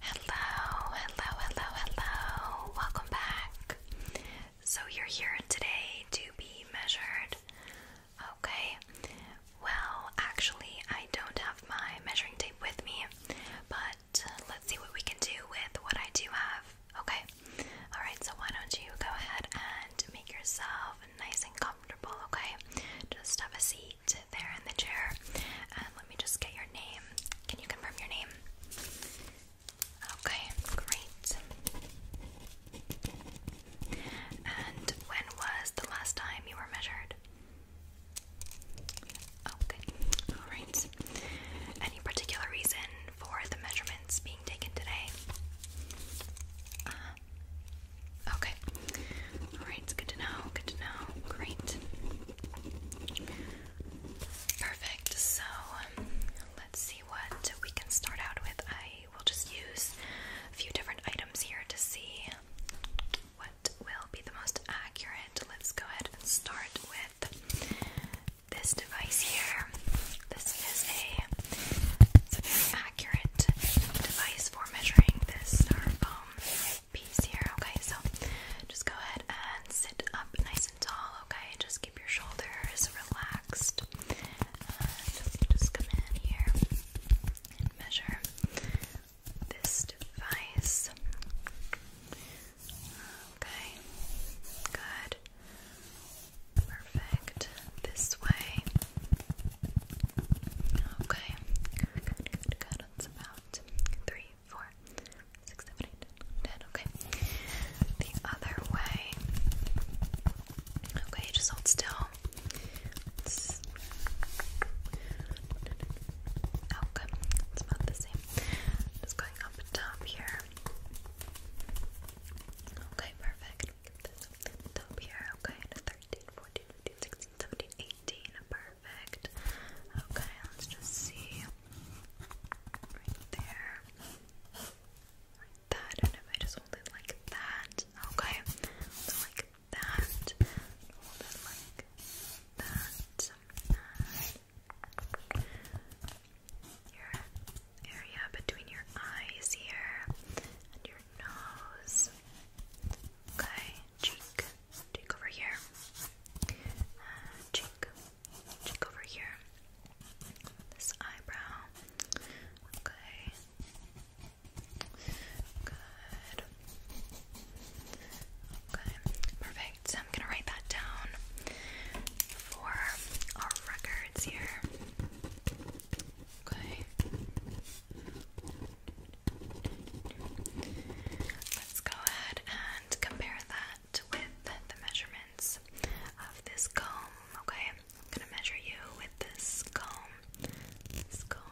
Hello, hello, hello, hello. Welcome back. So, you're here today to be measured. Okay. Well, actually, I don't have my measuring tape with me, but uh, let's see what we can do with what I do have. Okay. Alright, so why don't you go ahead and make yourself nice and comfortable, okay? Just have a seat seat there in the chair. And um, let me just get your name. Can you confirm your name? Okay, great. And when was the last time you were measured? Okay, oh, alright. Any particular reason for the measurements being taken today? Uh, Okay. Alright, it's good to know. Good to know. Great. Perfect. So um, let's see what we can start out with. I will just use a few different items here to see what will be the most accurate. Let's go ahead and start with this device here. This is a, very accurate device for measuring this star styrofoam piece here. Okay, so just go ahead and sit up nice and tall. Okay, just keep your shoulders relaxed. And just come in here and measure this device. Okay, good. Perfect. This way. Okay. Good, good, good. That's about three, four, six, seven, eight, ten. Okay. The other way. Okay, just hold still. It's okay, oh, it's about the same. Just going up top here. Okay, perfect. top here. Okay, 13, 14, 15, Perfect. Okay, let's just see. Right there. Like that. And if I just hold it like that. Okay. So like that. Hold it like that. And area between your eyes here and your nose. Okay, cheek cheek over here, uh, cheek, over here, this eyebrow. Okay, good. Okay, perfect. So I'm gonna write that down for our records here. Okay. Let's go ahead and compare that with the measurements of this comb. Okay, I'm gonna measure you with this comb. This comb.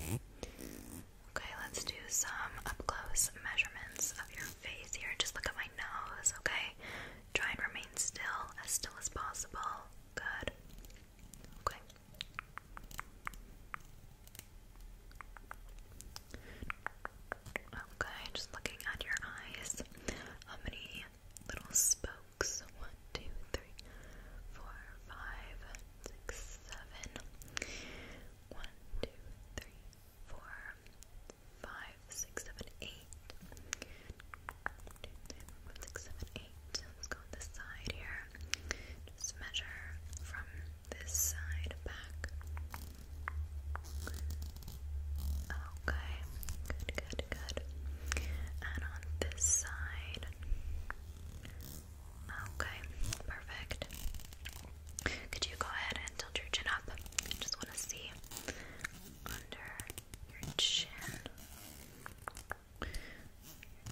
Okay, let's do some up close measurements of your face here. Just look at my nose, okay? Try and remain still, as still as possible. Good. Okay. Okay, just looking at your eyes. How many little spokes? One, two, three, four, five, six, seven. One, two, three, four, five, six, seven, eight. One, two, three, four, five, six, seven, let Let's go on this side here. Just measure from this side back. Okay, good, good, good. And on this side. Okay, perfect. Could you go ahead and tilt your chin up? just want to see under your chin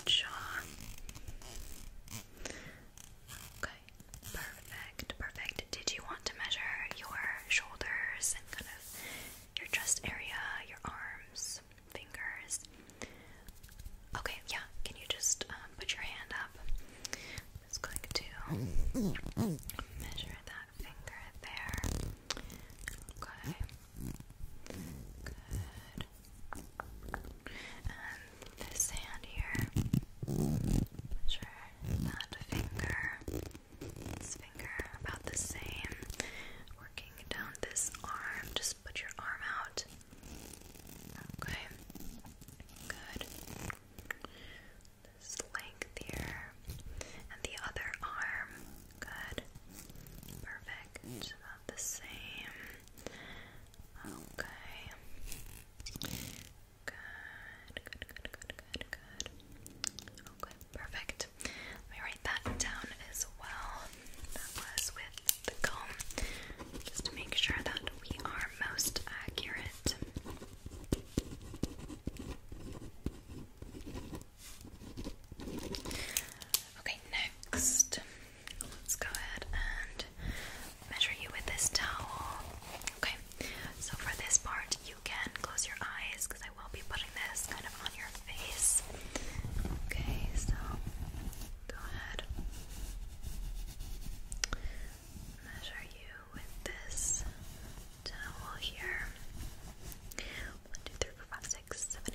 jaw. Okay, perfect, perfect. Did you want to measure your shoulders and kind of your chest area, your arms, fingers? Okay, yeah. Can you just um, put your hand up? I'm just to measure that finger there. Okay. Good this hand here, measure that finger, this finger about the same. Working down this arm, just put your arm out. Okay, good. This length here, and the other arm, good. Perfect the same. Okay. Good, good, good, good, good, good. Okay, perfect. Let me write that down as well. That was with the comb, just to make sure that we are most accurate. Okay, next. Let's go ahead and measure you with this towel. Okay, so for this part, you can close your eyes because I will be putting this kind of on your face. Okay, so go ahead. Measure you with this towel here. 1,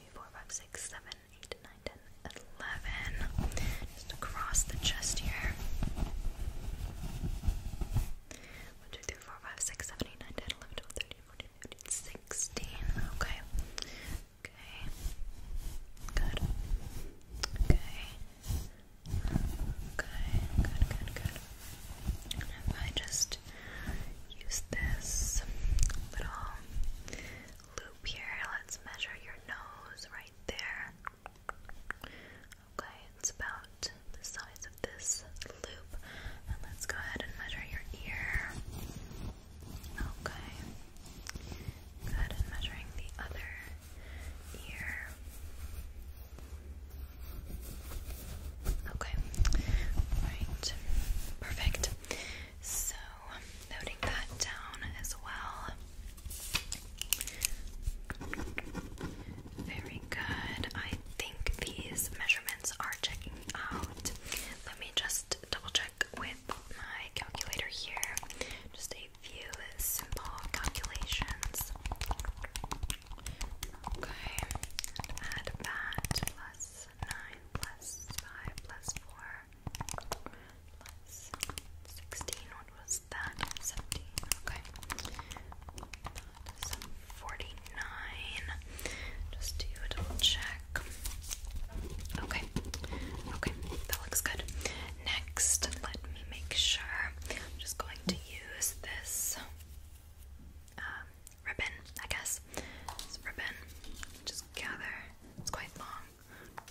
four, five, six, seven, eight, nine, ten, eleven. Just across the chest here. One, two, three, four, five, six, seven, eight, nine, ten, eleven, twelve, thirteen, fourteen, fifteen, sixteen. Okay. Okay. Good. Okay. Okay. Good. Good. Good. And I just use this little loop here. Let's measure your nose right there. Okay, it's about the size of this loop. And let's go ahead and measure your ear. Okay. Good, and measuring the other ear. Okay. All right. Perfect it. So, noting that down as well. Very good. I think these measurements are checking out. Let me just double check with my calculator here. Just a few simple calculations. Okay, add that plus plus 9 plus 5 plus 4 plus 16. What was that? 17. Okay. 49. Just do a double check. Okay. Okay. That looks good. Next, let me make sure. I'm just going to use this um, ribbon, I guess. It's ribbon. Just gather. It's quite long.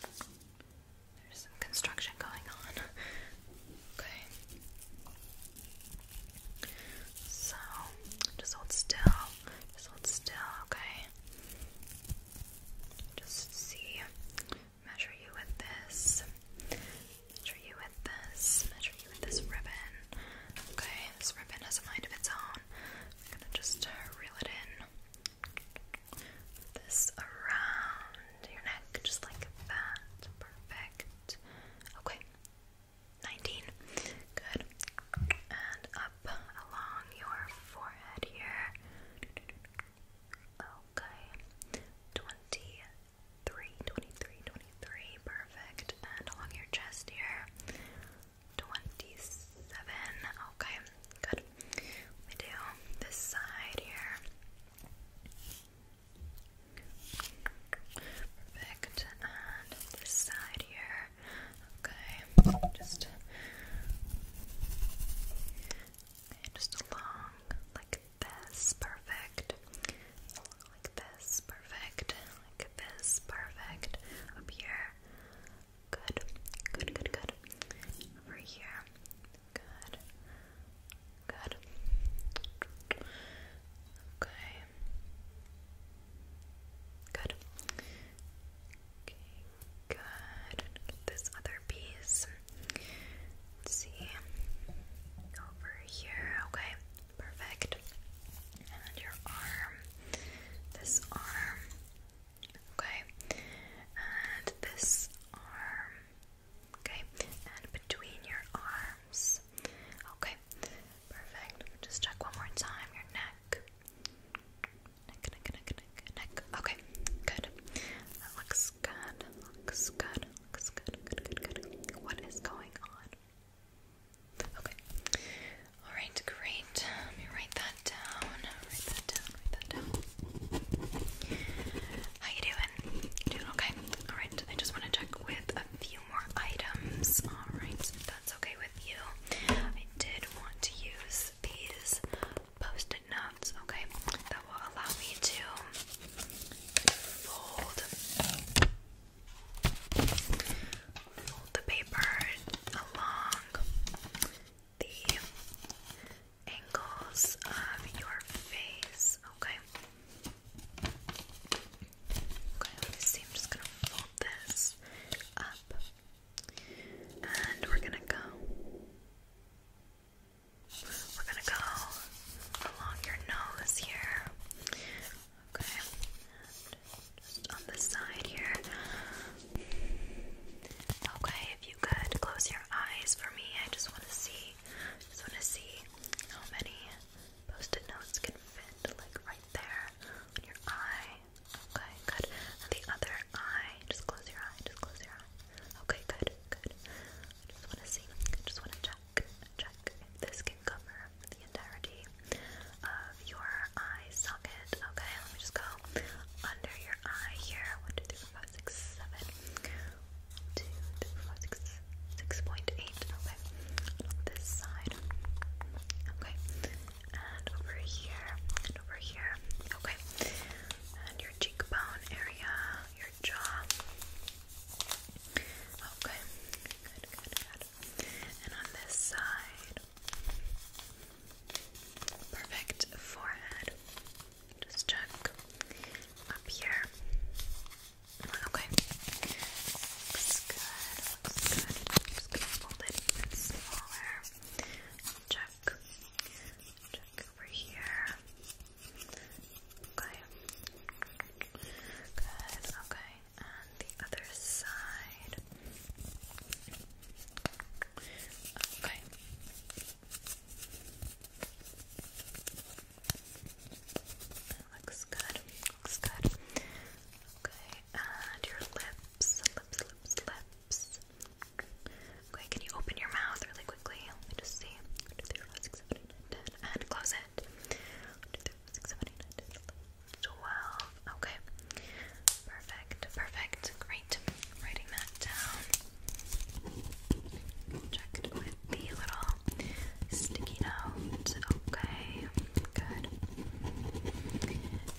There's some construction going on. Okay. So, just hold still. Just hold still, okay? Just see. Measure you with this. Measure you with this. Measure you with this ribbon. Okay, this ribbon has a mind of its own gonna just uh, reel it in. This around your neck, just like that. Perfect. Okay. 19. Good. And up along your forehead here. Okay. 23. 23. 23. Perfect. And along your chest here twenty-seven. Okay, good. We do this side here. Perfect. And this side here. Okay. Just just along like this. Perfect like this, perfect, like this, perfect, up here, good, good, good, good, over here, good, good, okay, good, okay, good, this other piece, see, over here, okay. Perfect. And your arm, this arm, okay, and this arm, okay, and between your arms, okay, perfect. Just check one more time your neck, neck, neck, neck, neck, neck. Okay, good. That looks good. Looks good. Looks good. Good. Good. Good. What is going on? Okay. Alright, great. Let me write that down. Write that down, write that down. How you doing? doing okay? Alright, I just want to check with a few more items. Alright, that's okay with you. I did want to use these post-it notes, okay? That will allow me to fold Fold the paper along the angles of your face. Okay. Okay, see. I'm just gonna fold this up. And we're gonna go. We're gonna go along your nose here. Okay. Just on the side here. Okay, if you could close your eyes for me, I just want to see. Just want to see how many post-it notes can fit, like right there on your eye. Okay, good. the other eye. Just close your eye. Just close your eye. Okay, good, good. just want to see. just want to check, check this cover the entirety of your eye socket. Okay, let me just go under your eye here. One, two, three, four, five, six, seven. One, Okay, this side. Okay, and over here, and over here. Okay, and your cheekbone area, your jaw. Okay, good, good, good. And on this side, perfect forehead. Just check up here. Okay. Looks good. Looks good. Just gonna fold it smaller. Check. Check over here. Okay. Good. Okay and the other side. Okay. looks good. Looks good. Okay, and your lips, lips, lips, lips. Okay, can you open your mouth really quickly? Let me just see. And close it twelve. Okay. Perfect. Perfect. Great. Writing that down. Checked with the little sticky note. Okay. Good.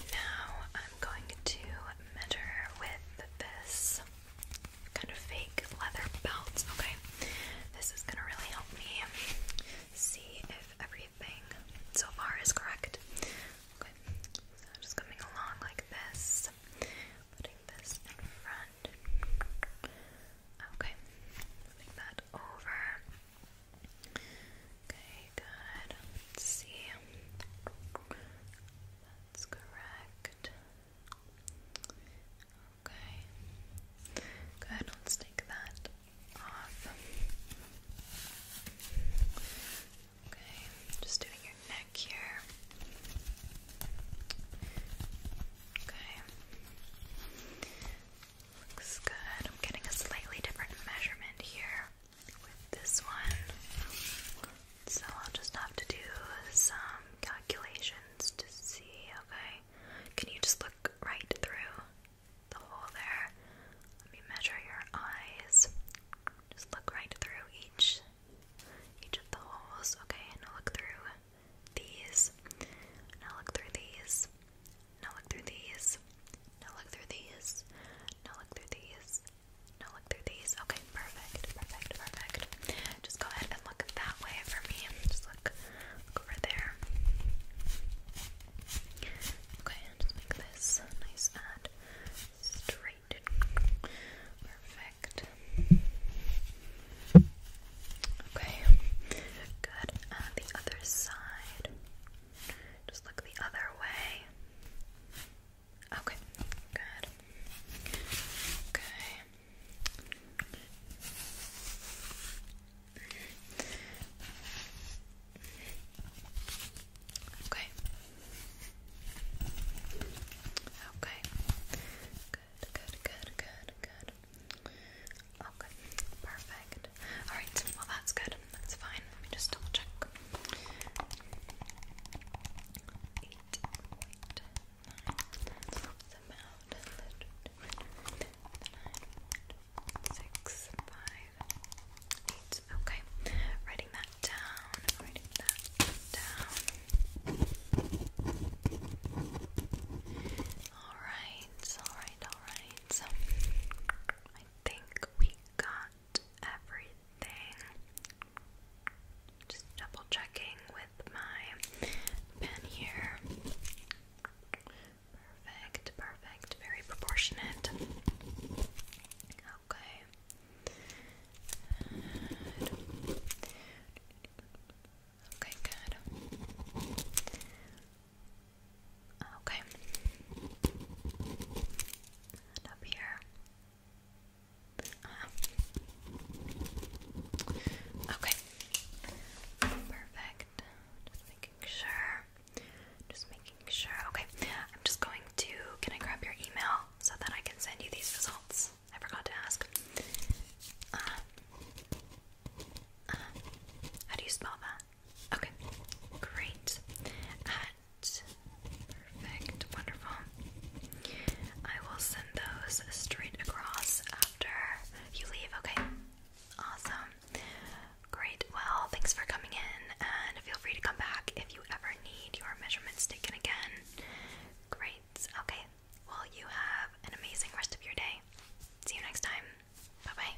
Now I'm going to measure with this kind of fake leather belt. Okay. This is gonna really help me see if everything so far is correct. Okay, so I'm just coming along like this, putting this in front. Okay, moving that over. Okay, good. see. That's correct. Okay. Good, let's take that Okay, just doing your neck here. Okay. Looks good. I'm getting a slightly different measurement here with this one. So I'll just have to do some calculations to see, okay? Can you just look right through? the hole there. Let me measure your eyes. Just look right through each each of the holes. Okay, now look through these. Now look through these. Now look through these. Now look through these. Now look through these. Now look through these. Okay, perfect, perfect, perfect. Just go ahead and look that way for me. Just look over there. Okay, just make this nice and straight. Perfect. Okay, good. the other side. Just look the other way. Okay, good. Okay. Okay. Okay. Good, good, good, good, good. Okay, perfect. Alright, well, that's good. That's fine. Let me just double check. Eight, six, five, eight. Okay, writing that down, writing that down. Alright, alright, alright. So I think we got everything. Just double checking with my pen here. Perfect, perfect, very proportionate. Okay. Okay, good. Okay. up here. Uh-huh. okay. Perfect. Just making sure. Just making sure. Okay, I'm just going to. Can I grab your email so that I can send you these results? I forgot to ask. Uh, uh, how do you spell that? Okay, great. At perfect, wonderful. I will send those straight across after you leave. Okay, awesome. Great, well, thanks for coming in, and feel free to come back if you ever need your measurements taken again. Great, okay, well, you have an amazing rest of your day. See you next time. Bye bye.